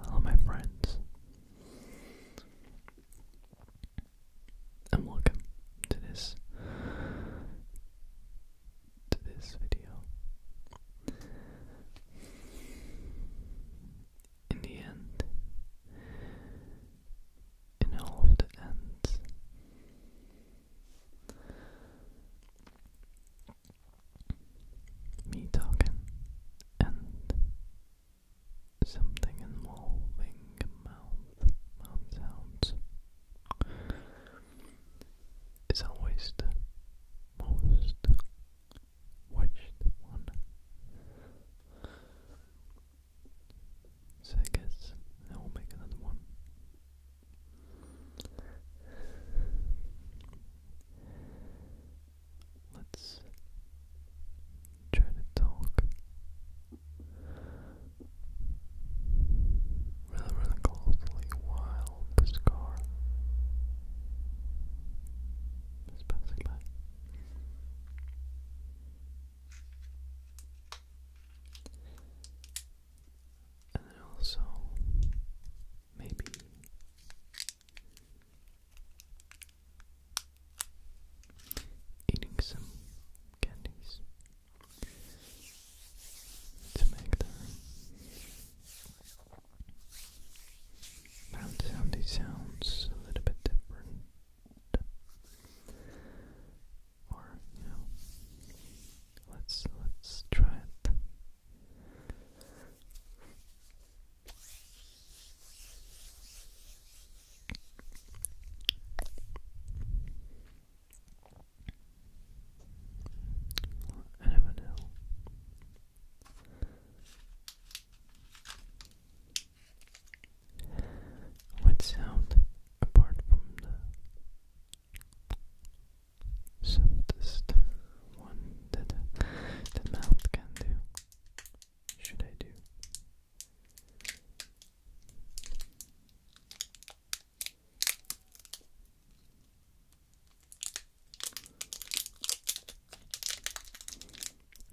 Hello, my friends, and welcome to this to this video. In the end, in all the ends, me talking and something involving mouth, mouth sounds is always the most watched one. So I guess I will make another one Let's try to talk really, really closely while the scar is passing by and then also maybe eating some candies to make them mouth soundy sounds a little bit different or you know let's let's try it Eminem. What sound, apart from the softest one that the mouth can do. Should I do?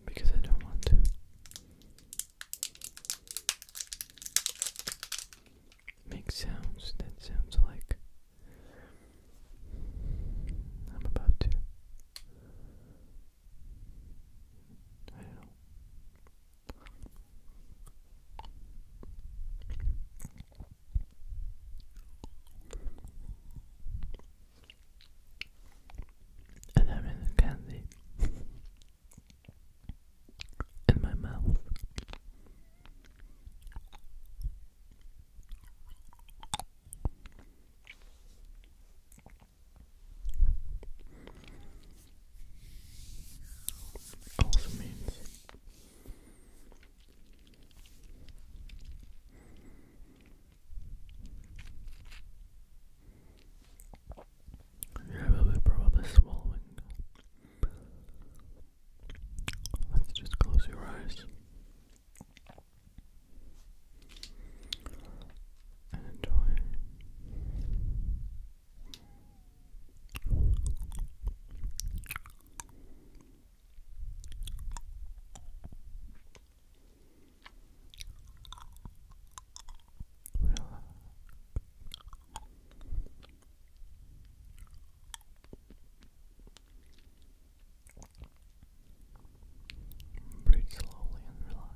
Because I don't want to make sounds that sounds like I'm about to And I'm in a candy. in my mouth. Also means probably swallowing Let's just close your eyes and enjoy. Relax. Breathe slowly and relax.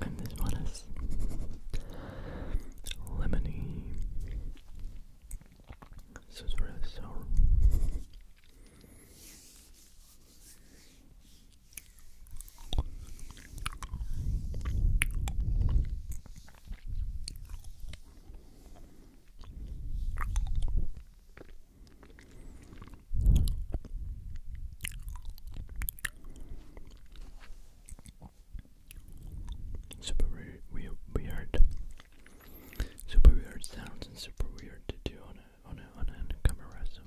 And this one is lemony. This is sour. Super weird, weird, weird, super weird sounds and super weird to do on a on a on a camera. So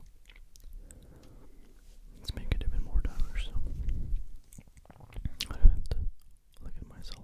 Let's make it even more diverse. I look at myself.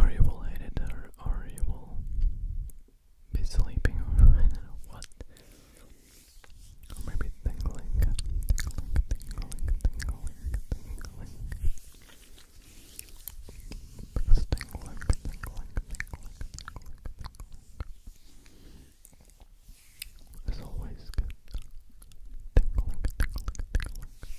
Or you will or, or you be sleeping, or what. maybe tingling, tingling, tingling, tingling, tingling, tingling, tingling, tingling, tingling. It's always good. Tinkling, tinkling, tinkling.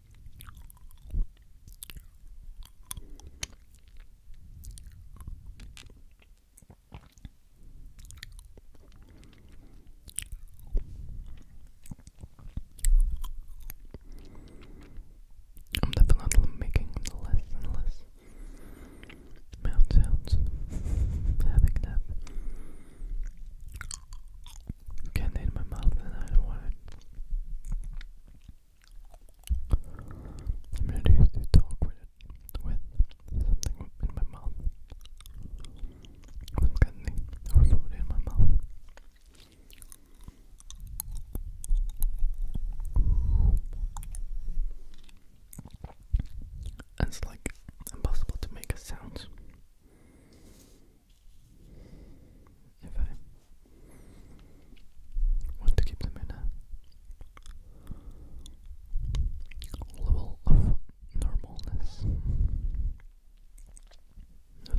I'm definitely making less and less mouth sounds having that candy in my mouth and I don't want it. I'm gonna talk with with something in my mouth. With candy or food in my mouth. It's like impossible to make a sound if I want to keep them in level of normalness. I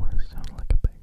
want to sound like a pig.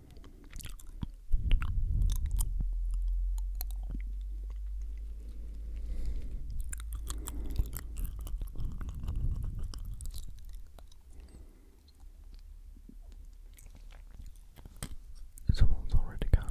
Someone's already gone.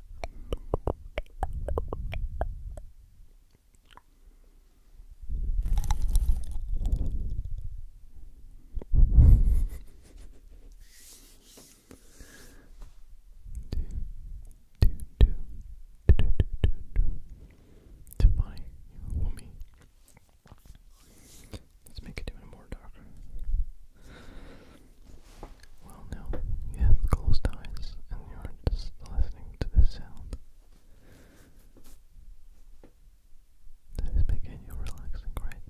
To my woman. Let's make it even more darker. Well, now you have closed eyes and you're just listening to the sound that is making you relaxing, right?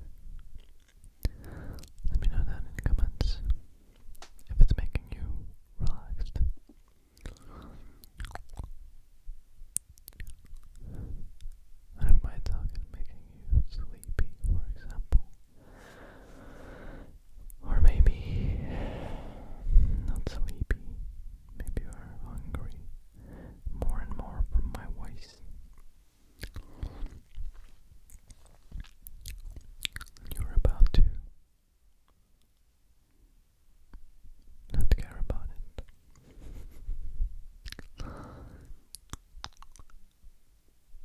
Let me know down in the comments if it's making you relaxed. And if talk is making you sleepy, for example, or maybe not sleepy. Maybe you're hungry more and more from my voice. You're about to not care about it.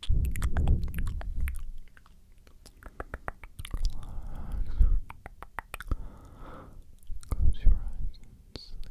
Close your eyes and sleep. Close your eyes and sleep.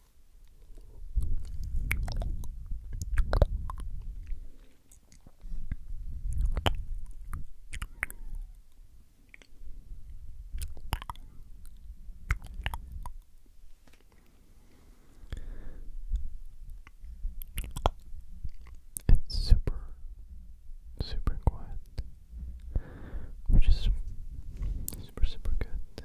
It's super, super quiet, which is super, super good.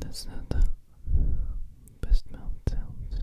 That's not the best mouth sounds.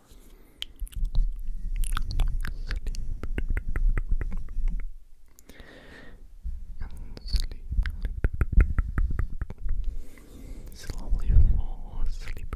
and sleep. Slowly fall asleep.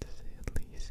to say at least.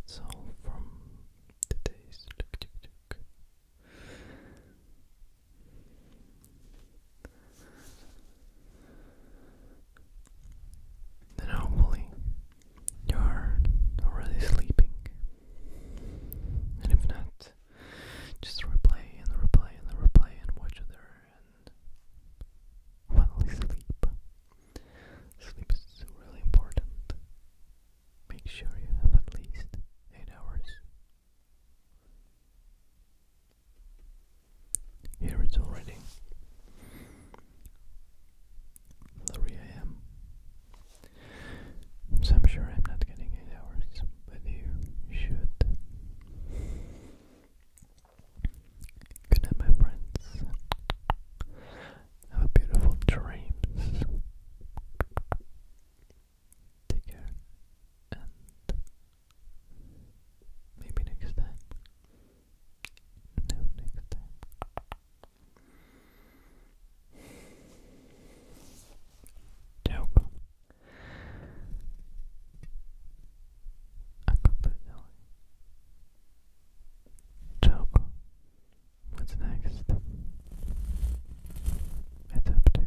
That's all from today's look, then hopefully you're already sleeping. And if not, just replay and replay and replay and watch it there and finally sleep. Sleep is really important. Make sure you have at least 8 hours here it's already 3 a.m. So I'm sure I'm not getting 8 hours, but you should. Good night, my friends. Have a beautiful dreams. Take care, and maybe next time. No, next time. Ciao. Accompagnare. Ciao. What's next? It's up to you.